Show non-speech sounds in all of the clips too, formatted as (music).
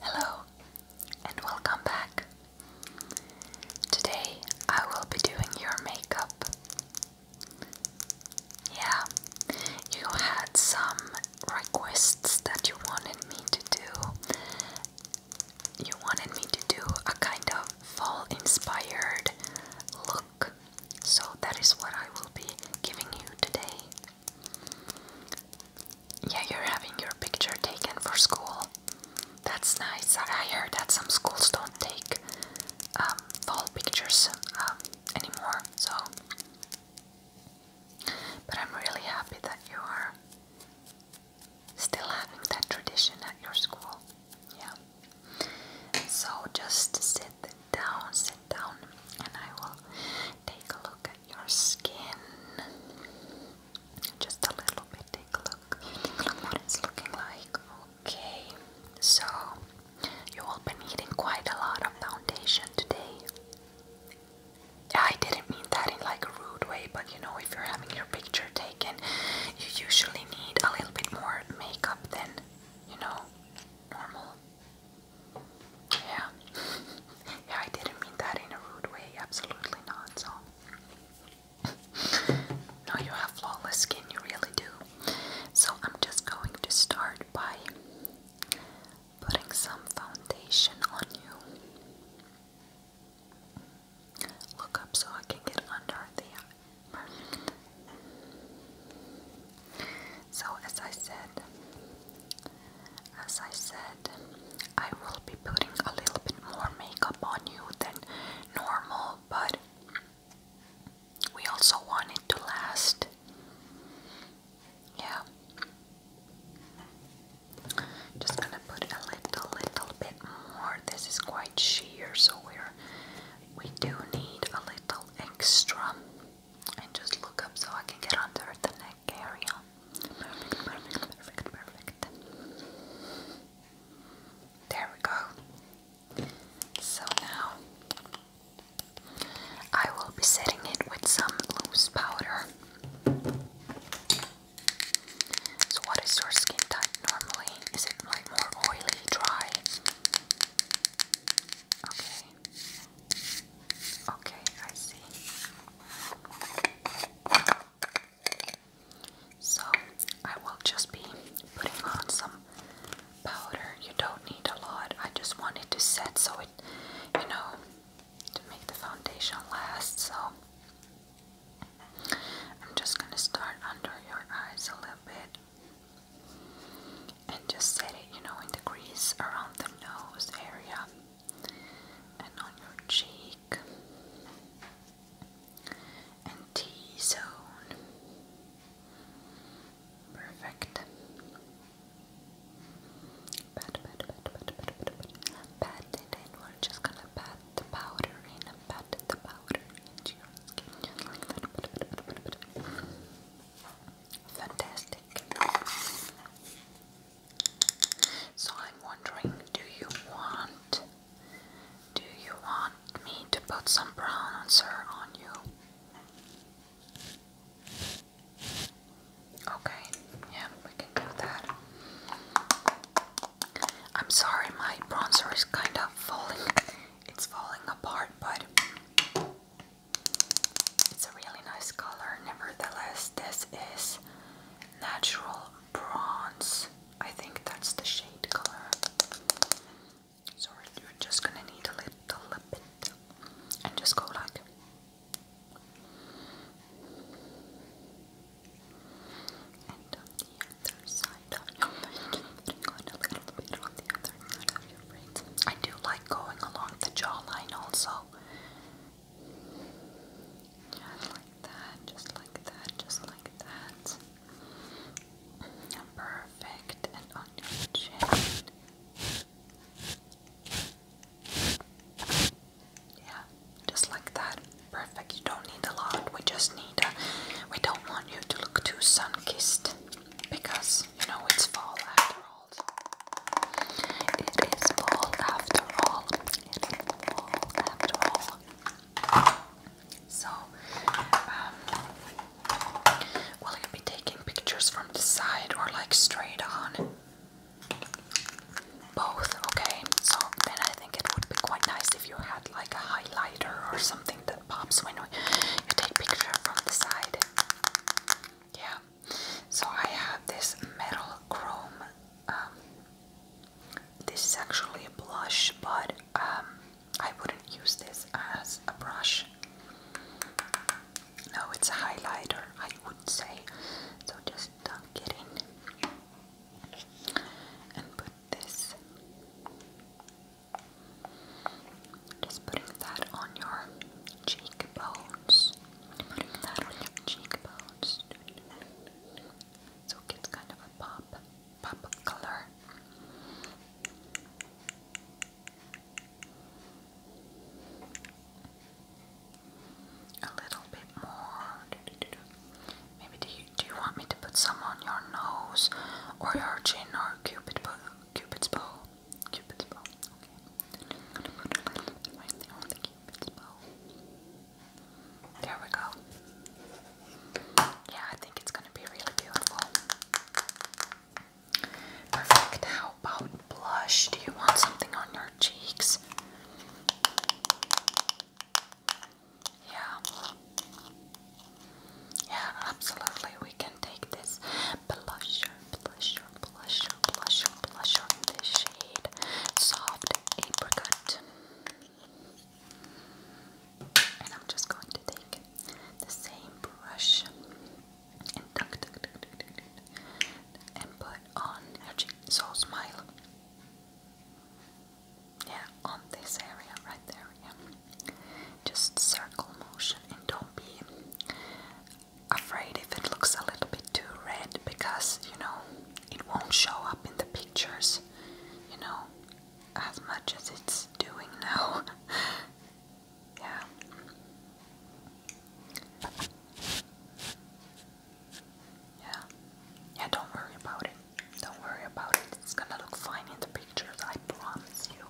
Hello and welcome back. Today I will be doing your makeup. Yeah, you had some requests that you wanted me to do. You wanted me to do a kind of fall inspired look. So that is what I will be giving you today. Yeah, you're having your picture taken for school. That's nice. I heard that some schools don't take um, fall pictures um, anymore, so. But I'm really happy that you are still having that tradition at your school. Yeah. So just sit down, sit down, and I will take a look your skin. Just a little bit. Take a look. Take a look what it's looking like. Okay, so you all been needing quite a lot of foundation today. I didn't mean that in like a rude way, but you know, if you're having your picture taken, you usually need a little bit more makeup than you know normal. Yeah. (laughs) yeah, I didn't mean that in a rude way. Absolutely not. So. no, you have flawless skin. You really do. So I'm just going to start by putting some foundation on you. Look up so I can get under the so as I said, as I said, I will be putting a little bit more makeup on you than normal, but we also want it to last. Yeah. Just gonna put a little, little bit more. This is quite sheer, so we're we do need a little extra and just look up so I can get under the neck area. Perfect, perfect, There we go. So now I will be setting it with some loose powder. So, what is your skin type normally? Is it more oily, dry? Okay. Okay, I see. So, I will just be putting on some powder. You don't need a lot. I just want it to set so it, you know, to make the foundation last. So, I'm just going to start under your eyes a little bit and just set it, you know, in the crease around the nose area and on your cheek and T zone. Perfect. Pat, pat, pat, pat, pat, pat, pat, pat it in. We're just gonna pat the powder in and pat the powder into your skin just like that. Fantastic. So I'm wondering, do you want do you want me to put some bronzer on you? Okay, yeah, we can do that. I'm sorry, my bronzer is kind of falling. It's falling apart, but it's a really nice color, nevertheless, this is natural bronze. I think that's the shade color. So you're just gonna need a little bit and just go like and on the other side, oh, I'm a little bit I do like going along the jawline also. Just like that, just like that, just like that. Perfect. And on your chin. Yeah, just like that. Perfect. You don't need a lot. We just need We don't want you to look too sun kissed. Because, you know, it's fall after all. It is fall after all. It is fall after all. So, um, will you be taking pictures from the side or like straight on? Both, okay. So then I think it would be quite nice if you had like a highlighter or something that pops when you take picture from the side. Yeah. So I have this metal chrome. Um, this is actually a blush, but um, I wouldn't use this as a brush. No, it's a highlighter, I would say. So just dunk it in and put this just putting that on your cheekbones. Putting that on your cheekbones. So it gets kind of a pop, pop of color. A little bit more. Maybe do you, do you want me to put some on your nose or your chin or cupid's cupid? Cupid's bow. Cupid's bow. Okay. Just going on the Cupid's bow. There we go. Yeah, I think it's gonna be really beautiful. Perfect. How about blush? Do you want something on your cheeks? Yeah. Yeah, absolutely. We can take this blusher, blusher, blusher, blusher, blusher in the shade Soft Apricot. And I'm just going to take the same brush and put on So smile. Yeah, on this area right there. Yeah. Just circle motion and don't be afraid if it looks a little bit too red because you know it won't show up in the pictures, you know, as much as it's doing now. (laughs) yeah. Yeah. Yeah, don't worry about it. Don't worry about it. It's gonna look fine in the pictures, I promise you.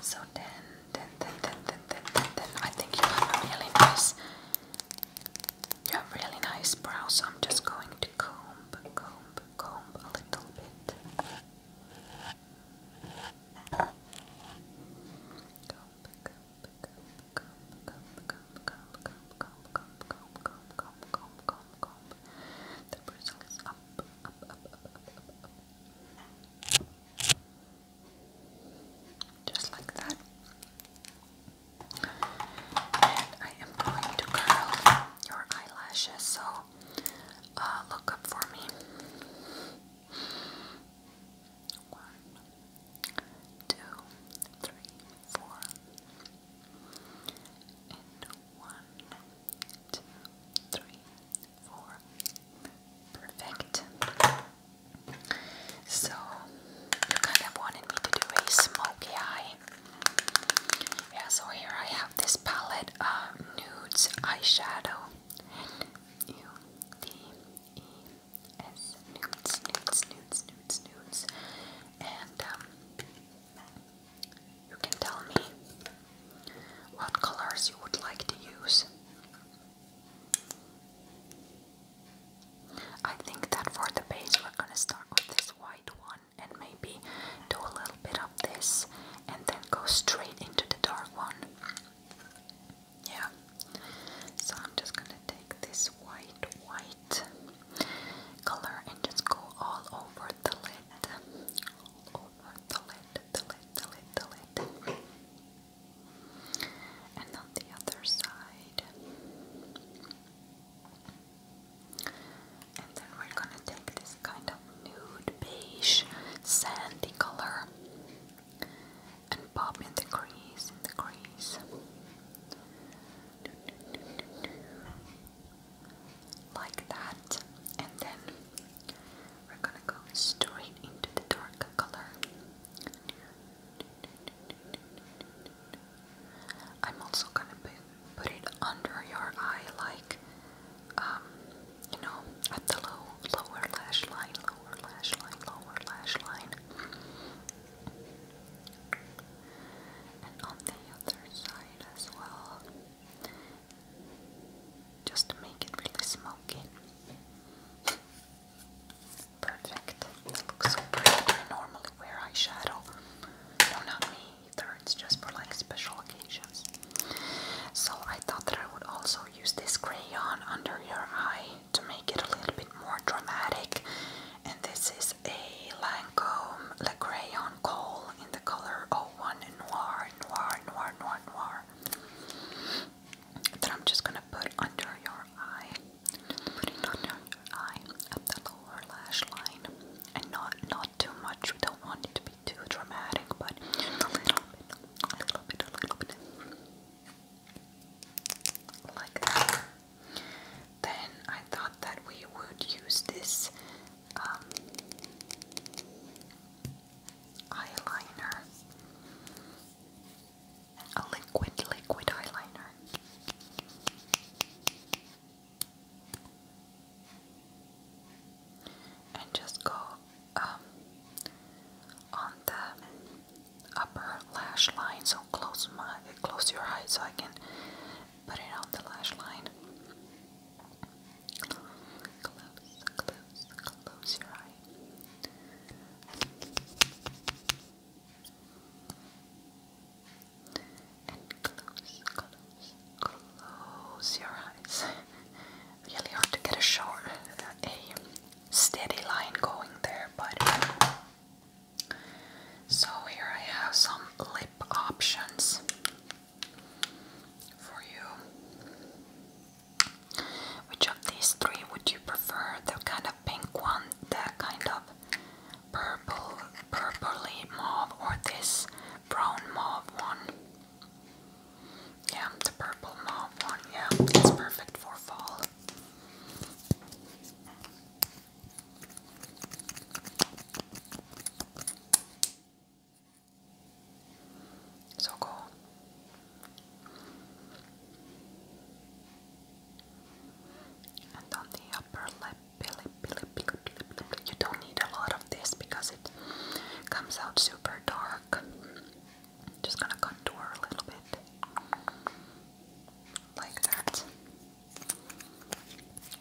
So then, then, then, then, then, then, then, then I think you have really nice, you have really nice brows. So I'm just going to comb, comb, comb a little bit. Comb, comb, comb, comb, comb, comb, comb, comb, comb, comb, comb, comb, comb, comb, comb. The bristles up, up, up, up, up, up, up. Just like that. And I am going to curl your eyelashes, so uh, look up for me. One, two, three, four, and one, two, three, four. Perfect. So, you kind of wanted me to do a smoky eye. Yeah, so here I have this palette Nudes Eyeshadow as Newts, Newts, Newts, Newts, Newts. And um, you can tell me what colors you would like to use. I think that for the base we're gonna start with this white one and maybe do a little bit of this and then go straight into the dark one. Yeah. So I'm just gonna take this white, white color and just go all over the lid. All over the lid, the lid, the lid, the lid. And on the other side. And then we're gonna take this kind of nude beige sandy color and pop in the crease, in the crease. Like that, and then we're gonna go straight into the dark color. I'm also gonna put it under your eye, like um, you know, at the low, lower lash line, lower lash line, lower lash line and on the other side as well, just to make it really smoky. Perfect. looks so pretty. I normally wear eyeshadow. No, not me either. It's just for like special occasions. So I thought that I would also use this crayon under your eye to make it a little bit more dramatic. And this is a Lancome Le Crayon Coal in the color 01 Noir, Noir, Noir, Noir, Noir. That I'm just gonna put under your eye. under your eye, up the lower lash line. And not not too much. don't want it to be too dramatic, but a little bit, a little bit, a little bit. Like that. Then I thought that we would use this um, eyeliner, a liquid, liquid eyeliner. And just go um, on the upper lash line. So close my close your eyes so I can put it on the lash line. Close, close, close your eyes. really hard to get a shot steady line going there, but so here I have some lip options for you. Which of these three would you prefer? The kind of pink one, the kind of purple, purpley mauve, or this brown mauve one? Yeah, the purple mauve one. Yeah, it's perfect for fall. So cool. And on the upper lip, you don't need a lot of this because it comes out super dark. Just gonna contour a little bit. Like that.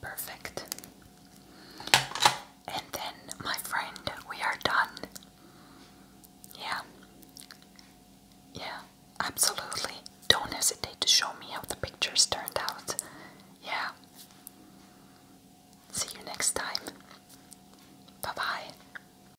Perfect. And then, my friend, we are done. Yeah. Yeah, absolutely. Don't hesitate to show me how the pictures turned out. Yeah. See you next time. Bye bye.